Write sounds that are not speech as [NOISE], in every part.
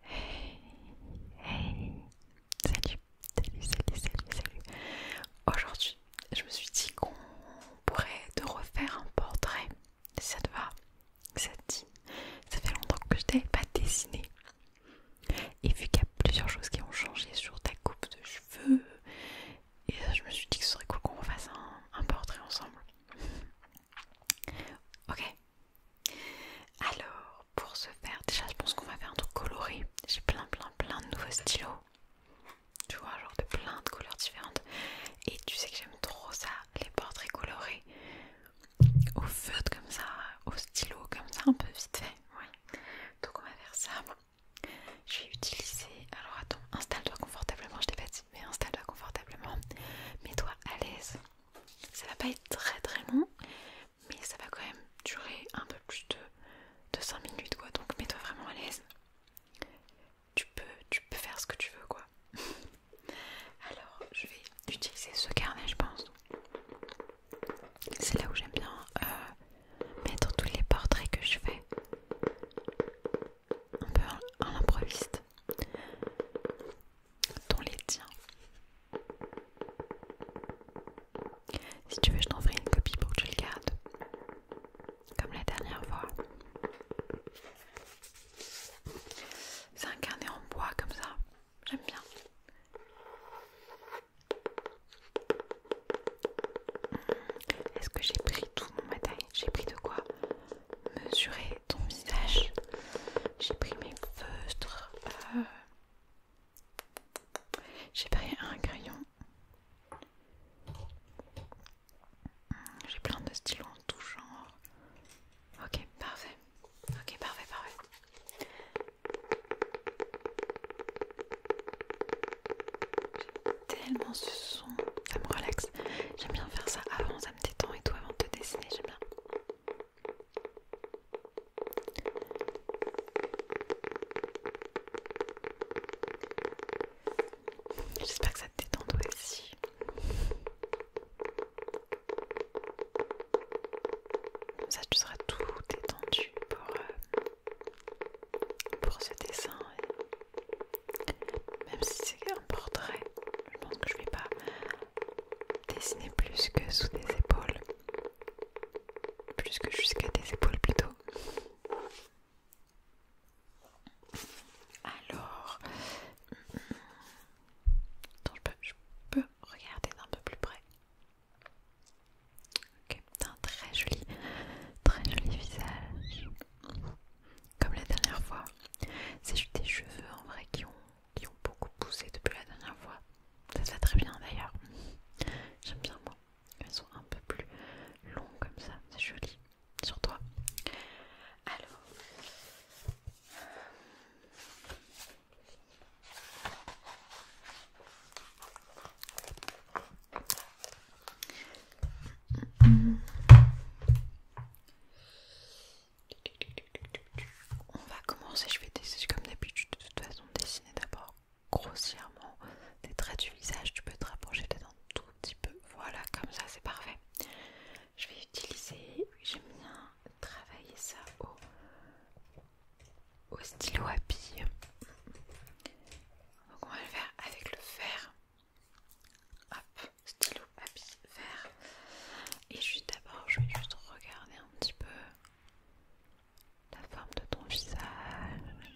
Hey, hey, salut, salut, salut, salut, salut. Aujourd'hui, je me suis dit qu'on pourrait te refaire un portrait. ça te va, ça te dit. Ça fait longtemps que je t'avais pas dessiné. Et vu qu'il y a plusieurs choses qui ont changé sur ta coupe de cheveux, et je me suis dit que ce serait cool qu'on fasse un portrait ensemble. Ok, alors, pour ce faire, déjà je pense qu'on va faire un truc coloré. J'ai plein plein plein de nouveaux stylos. Tu vois, genre de plein de couleurs différentes. Et tu sais que j'aime trop ça, les portraits colorés. Au feutre comme ça, au stylo comme ça, un peu vite fait. Donc on va faire ça. Je vais utiliser... Alors attends, installe-toi confortablement, je t'ai pas dit, mais installe-toi confortablement. Mets-toi à l'aise. Ça va pas être très très long, mais ça va quand même durer un peu plus de, 5 minutes quoi. Donc mets-toi vraiment à l'aise. Tu peux, tu peux faire ce que tu veux quoi. [LAUGHS] Alors je vais utiliser ce carnet je pense. C'est là où j'aime bien euh, mettre tous les portraits que je fais. Un peu à l'improviste improviste. Dans les tiens. Si tu veux, je ferai une copie pour que tu le gardes, comme la dernière fois. C'est un carnet en bois comme ça, j'aime bien. Est-ce que j'ai pris tout mon matériel J'ai pris de quoi mesurer ton visage. J'ai pris mes feutres. Euh, j'ai pris un crayon. J'ai plein de stylos en tout genre. Ok, parfait. Ok, parfait, parfait. tellement ce son, ça me relaxe. J'aime bien faire ça avant ça me et tout avant de te dessiner, j'aime J'espère que ça te détend aussi. Comme ça, tu seras tout détendu pour, euh, pour ce dessin. Même si c'est un portrait, je pense que je vais pas dessiner plus que sous des épaules. Plus que jusqu'à des épaules plutôt. Alors, je, peux, regarder d'un peu plus près. Ok, un très joli, très joli visage comme la dernière fois. C'est juste des cheveux en vrai qui ont, qui ont beaucoup poussé depuis la dernière fois. Ça se très bien d'ailleurs. J'aime bien moi. Elles sont un peu plus longs comme ça. C'est joli. Sur toi. Alors. On va commencer, je vais dessiner comme d'habitude, de toute façon dessiner d'abord grossièrement des traits du visage, tu peux te rapprocher d'un tout petit peu, voilà comme ça c'est parfait. Je vais utiliser, j'aime bien travailler ça au, au stylo à billes. Donc on va le faire avec le fer. Hop, stylo vert. Et juste d'abord, je vais juste regarder un petit peu la forme de ton visage.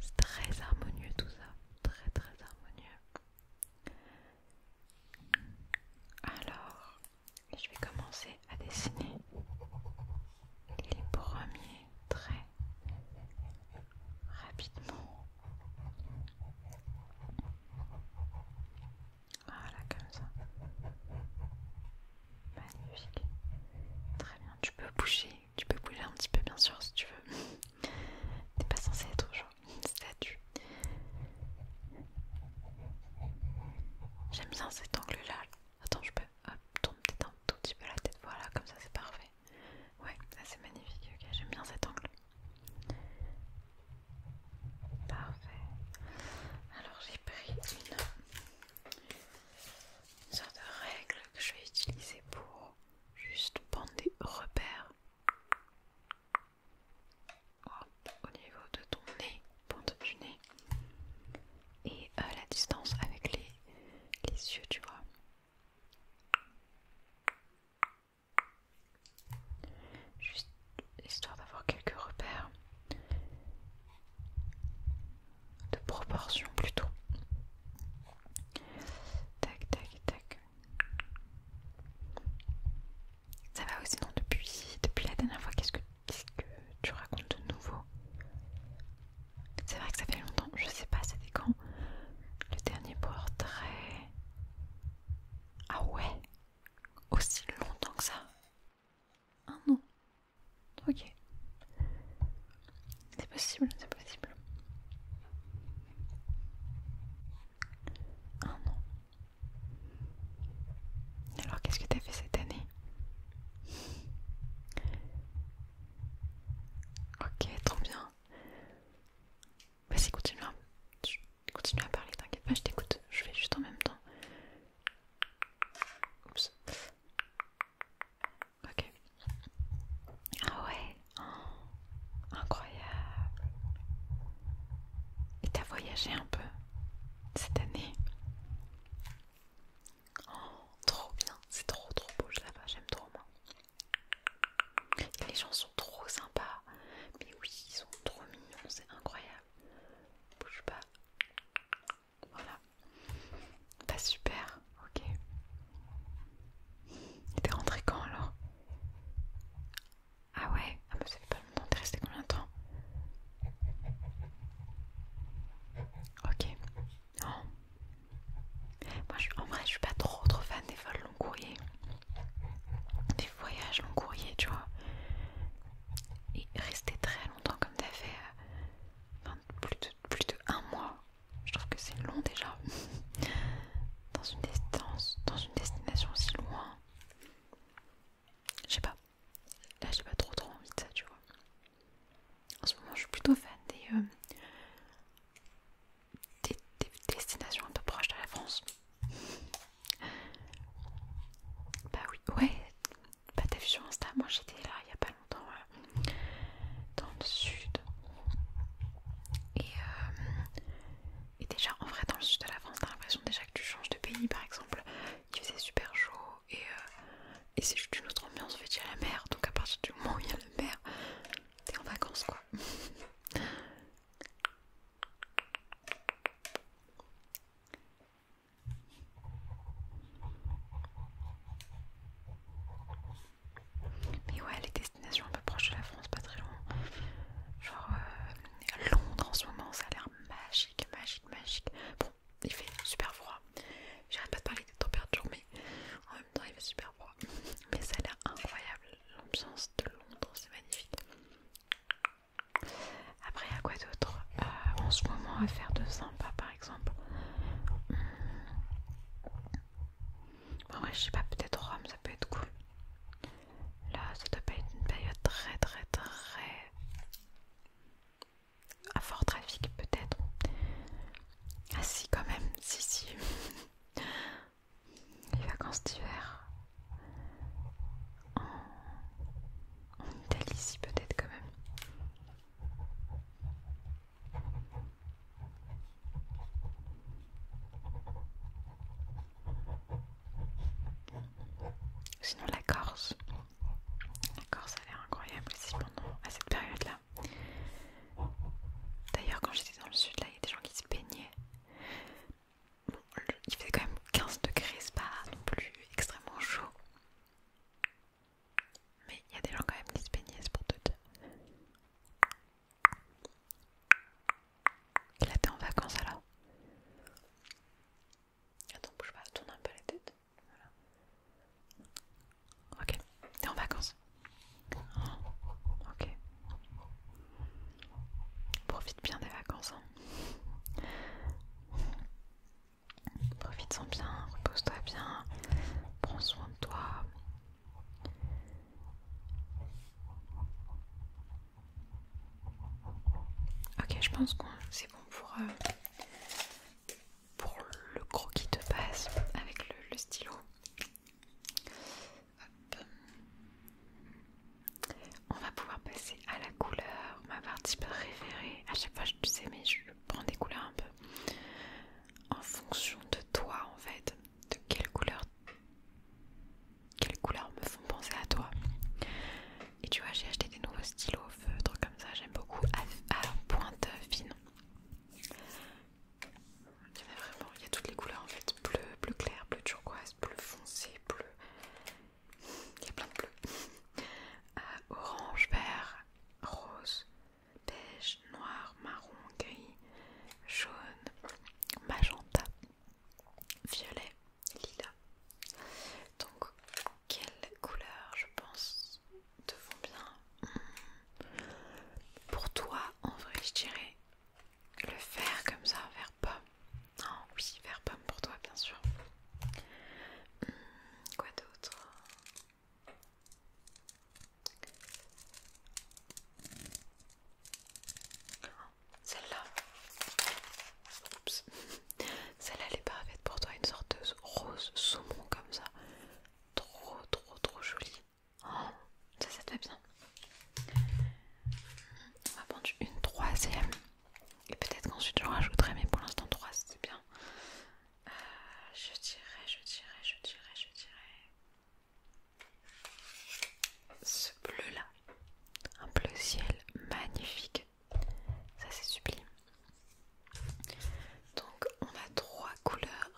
C'est très harmonieux tout ça, très très harmonieux. Alors, je vais commencer à dessiner les premiers très rapidement. Voilà, comme ça. Magnifique. Très bien, tu peux bouger. Tu peux bouger un petit peu, bien sûr, si tu veux. [LAUGHS] T'es pas censé être toujours [LAUGHS] statue. J'aime bien cet angle-là. Attends, je peux... Hop, tourne un tout petit peu la tête. Voilà, comme ça, c'est parfait ouais. ça c'est magnifique, j'aime bien cet angle. Parfait. Alors j'ai pris une, sorte de règle que je vais utiliser pour juste prendre des repères au niveau de ton nez, pente du nez et euh, la distance avec les yeux, tu vois. Juste histoire d'avoir quelques repères de proportion plutôt. Tac, tac, tac. Ça va aussi non depuis depuis la dernière fois qu'est-ce que tu racontes de nouveau c'est vrai que ça fait longtemps, je sais pas, c'était quand le dernier portrait. Ah ouais, aussi longtemps que ça. Un an. Ok. C'est possible, c'est possible. Un an. Alors qu'est-ce que t'as fait cette année Ok, trop bien. Vas-y, continue à, continue à parler, t'inquiète pas, je t'écoute. Je vais juste en même temps. Oups. Ok. Ah ouais, oh, incroyable. Et t'as voyagé un peu cette année Oh, trop bien, c'est trop trop beau, je sais pas, j'aime trop moi. Les gens sont trop sympas, mais oui, ils sont trop mignons, c'est incroyable. Bouge pas. Voilà. Pas super, ok. Il était rentré quand alors Ah ouais, ah mais ça fait pas longtemps, t'es resté combien de temps Ok. Non, oh. Moi, je, en vrai, je suis pas trop trop fan des vols long courrier, des voyages long courrier, tu vois. Et rester très longtemps comme t'as fait, euh, plus, de, plus de un mois, je trouve que c'est long déjà. [LAUGHS] dans, une distance, dans une destination aussi loin, je sais pas. Là, j'ai pas trop trop envie de ça, tu vois. En ce moment, je suis plutôt fan euh, des, destinations un peu proches de la France. bah oui, ouais, bah t'as vu sur Insta, moi j'étais là il y a pas longtemps, dans le sud. Et, euh, et déjà, en vrai, dans le sud de la France, t'as l'impression déjà que tu changes de pays, par exemple il faisait super chaud euh, et, c'est juste une autre ambiance en fait, il y a la mer, donc à partir du moment où il y a la mer, t'es en vacances quoi. [LAUGHS] Mais ouais, les destinations un peu proches de la France, pas très loin. Genre euh, Londres en ce moment, ça a l'air magique, magique, magique il fait super froid. J'arrête pas de parler des températures, mais en même temps il fait super froid. [LAUGHS] Mais ça a l'air incroyable, l'ambiance de Londres, c'est magnifique. Après, à quoi d'autre euh, en ce moment à faire de sympa par exemple hmm. ouais, je sais pas, peut-être Rome, ça peut être cool. Là, ça doit pas être une période très très très à fort trafic peut-être. Ah si quand même, si si. [LAUGHS] Les vacances d'hiver en Italie, si peut-être quand même. Sinon la Corse, D'accord, ça a l'air incroyable aussi pendant à cette période-là. D'ailleurs, quand j'étais dans le sud, là, il y a des gens qui se baignaient. Bon, il faisait quand même 15 degrés, c'est pas non plus extrêmement chaud. Mais il y a des gens quand même qui se baignaient, c'est pour tout. Il était en vacances alors Attends, bouge pas, tourne un peu la tête. Ok, t'es en vacances. ok. Profite bien des vacances. Hein. Profite-en bien, repose-toi bien, prends soin de toi. Ok, je pense que c'est bon pour... Euh, pour le croquis de passe avec le, stylo. On va pouvoir passer à la couleur, ma partie préférée. À chaque fois, je sais, mais je prends des couleurs un peu en fonction de toi, en fait, de quelle couleur, quelles couleurs me font penser à toi. Et tu vois, j'ai acheté des nouveaux stylos feutres comme ça, j'aime beaucoup à, pointe fine. Il y a vraiment, il y a toutes les couleurs en fait, bleu, bleu clair, bleu turquoise, bleu foncé, bleu, il y a plein de bleus, [LAUGHS] euh, orange, vert, rose, beige, noir, marron, gris, jaune, magenta, violet, lila. Donc, quelle couleur je pense te vont bien hmm. Pour toi, en vrai, je dirais le vert comme ça, vert pomme. Non, oui, vert pomme pour toi, bien sûr. Hmm, quoi d'autre celle-là. Oups. [LAUGHS] Celle-là elle est parfaite pour toi, une sorte de rose saumon comme ça. Trop trop trop jolie. Oh, ça ça fait bien. On va prendre une troisième. Et peut-être qu'ensuite j'en rajouterai, mais pour l'instant trois c'est bien. Euh, je dirais, je dirais, je dirais, je dirais. Ce bleu là. Un bleu ciel magnifique. Ça c'est sublime. Donc on a trois couleurs.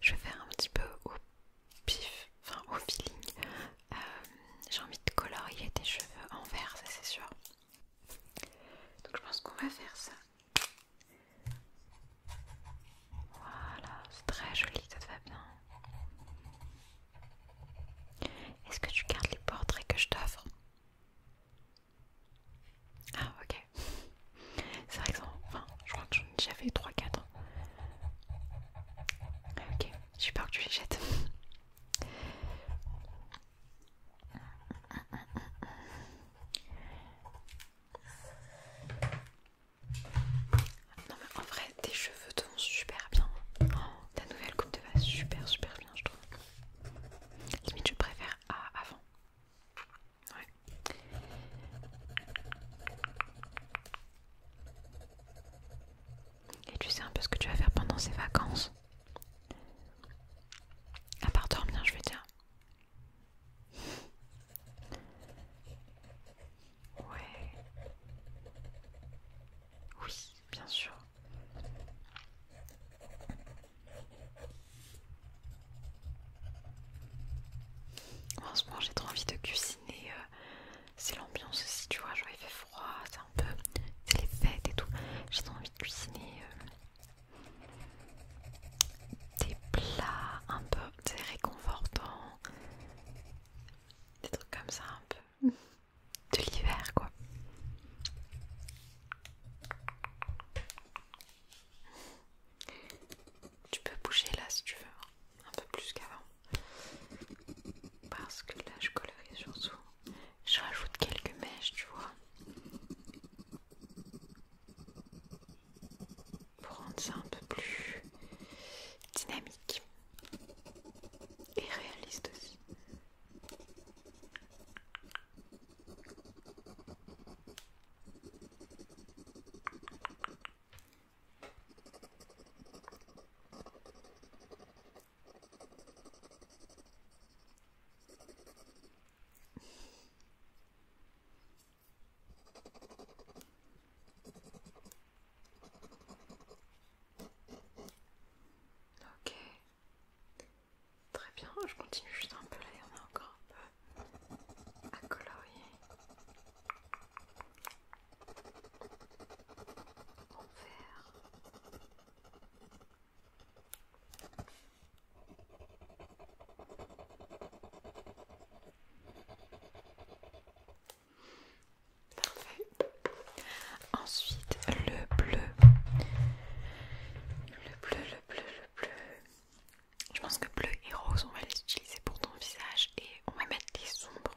Je vais faire un petit peu au pif, enfin au feeling. Euh, j'ai envie de colorier tes cheveux en vert, ça c'est sûr. Donc je pense qu'on va faire ça. Voilà, c'est très joli, ça te va bien. Est-ce que tu gardes les portraits que je t'offre Ah ok. C'est vrai que enfin, je crois que j'en ai déjà fait 3-4. Hein. Ok, j'ai peur que tu les jettes. Non mais en vrai tes cheveux te vont super bien. Oh, ta nouvelle coupe te va super super bien je trouve. Limite je préfère à avant. Ouais. Et tu sais un peu ce que tu vas faire pendant ces vacances À part dormir je veux dire. Ouais. Oui, bien sûr. En ce moment, j'ai trop envie de cuisiner. Euh, c'est l'ambiance aussi, tu vois. Genre, il fait froid, c'est un peu. C'est les fêtes et tout. J'ai trop envie de cuisiner euh, des plats un peu réconfortants. Des trucs comme ça, un peu de l'hiver quoi. Tu peux bouger là si tu veux, hein. un peu plus qu'avant. Parce que là je colorie surtout. Je rajoute quelques mèches, tu vois. Pour rendre ça un peu plus dynamique et réaliste aussi. Ok. Très bien, je continue juste un peu là, il y encore un peu à colorier. En vert. Ensuite, le bleu. Le bleu, le bleu, le bleu. Je pense que bleu et rose, on va les utiliser pour ton visage et on va mettre les sombres.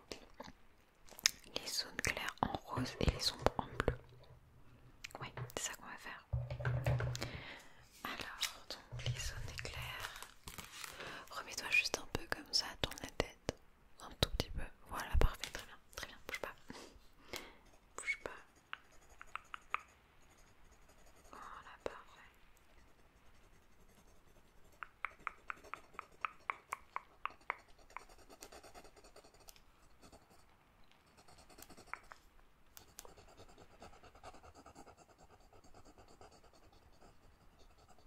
Les zones claires en rose et les sombres en bleu. Oui, c'est ça qu'on va faire. Alors, donc les zones claires. Remets-toi juste un peu comme ça, tourne la tête. Un tout petit peu. Voilà, parfait, très bien, très bien, bouge pas. bouge pas. Voilà, parfait.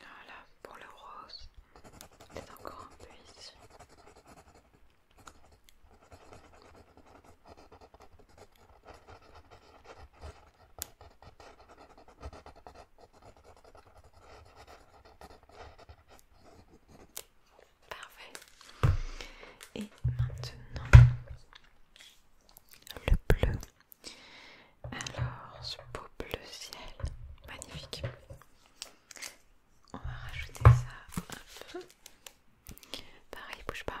Voilà, pour le rose, c'est encore un peu ici. Parfait. Et maintenant, le bleu. Alors, ce beau bleu ciel, magnifique. On va rajouter ça un peu. Pareil, bouge pas.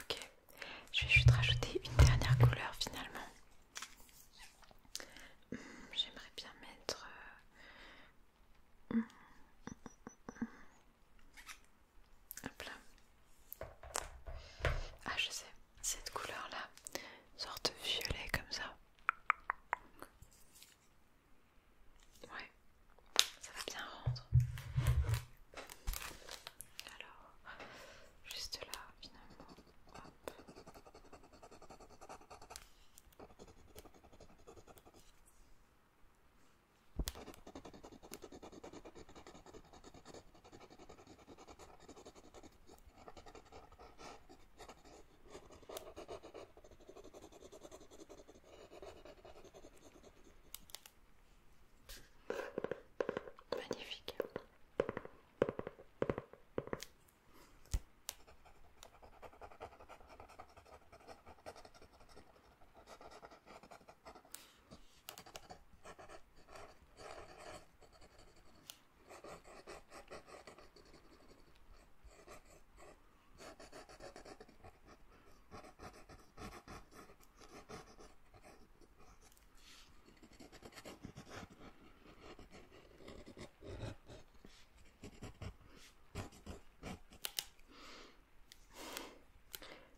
Ok, je vais juste rajouter une dernière couleur finalement. Hmm, j'aimerais bien mettre... Euh, hmm, hmm, Hop là. Ah je sais, cette couleur là, sorte violet comme ça. Ouais, ça va bien rendre. Alors, juste là, finalement. Magnifique.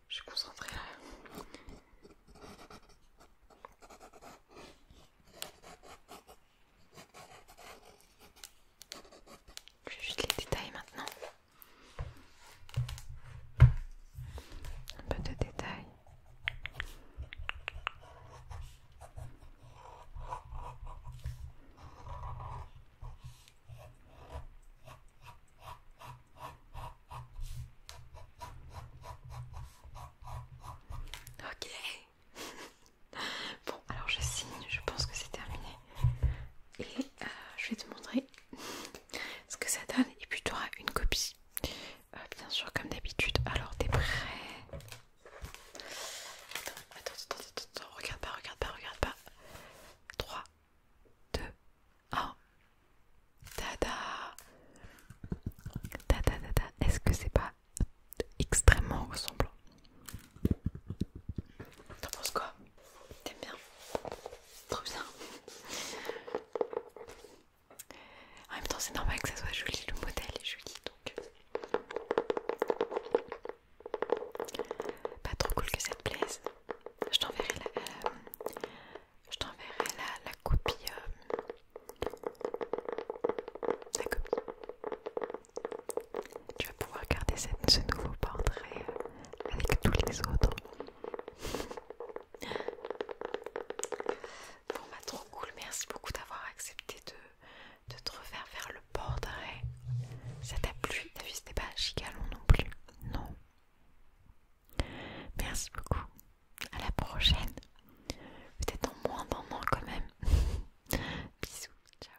Je suis concentrée là. Je vais juste les détails maintenant. Un peu de détails. Ok, [LAUGHS] bon, alors je signe, je pense que c'est terminé. Et euh, je vais te montrer [LAUGHS] ce que ça donne. Et puis tu auras une copie. Euh, bien sûr, comme d'habitude. Alors t'es prêt attends, attends, attends, attends, regarde pas, regarde pas, regarde pas. 3, 2, 1. Tada Tada, tada. Est-ce que c'est pas extrêmement ressemblant. T'en penses quoi T'aimes bien Trop bien. En même temps, c'est normal que ça soit joli, le modèle est joli donc. Pas trop cool que ça te plaise. Je t'enverrai la, euh, la, la copie euh, tu vas pouvoir garder cette, ce nouveau portrait euh, avec tous les autres. Bon bah trop cool, merci beaucoup d'avoir accepté de, de te refaire faire le portrait. Ça t'a plu T'as vu, c'était pas gigalon non plus. Non. Merci beaucoup à la prochaine. Peut-être en moins d'un an quand même. [LAUGHS] Bisous, ciao.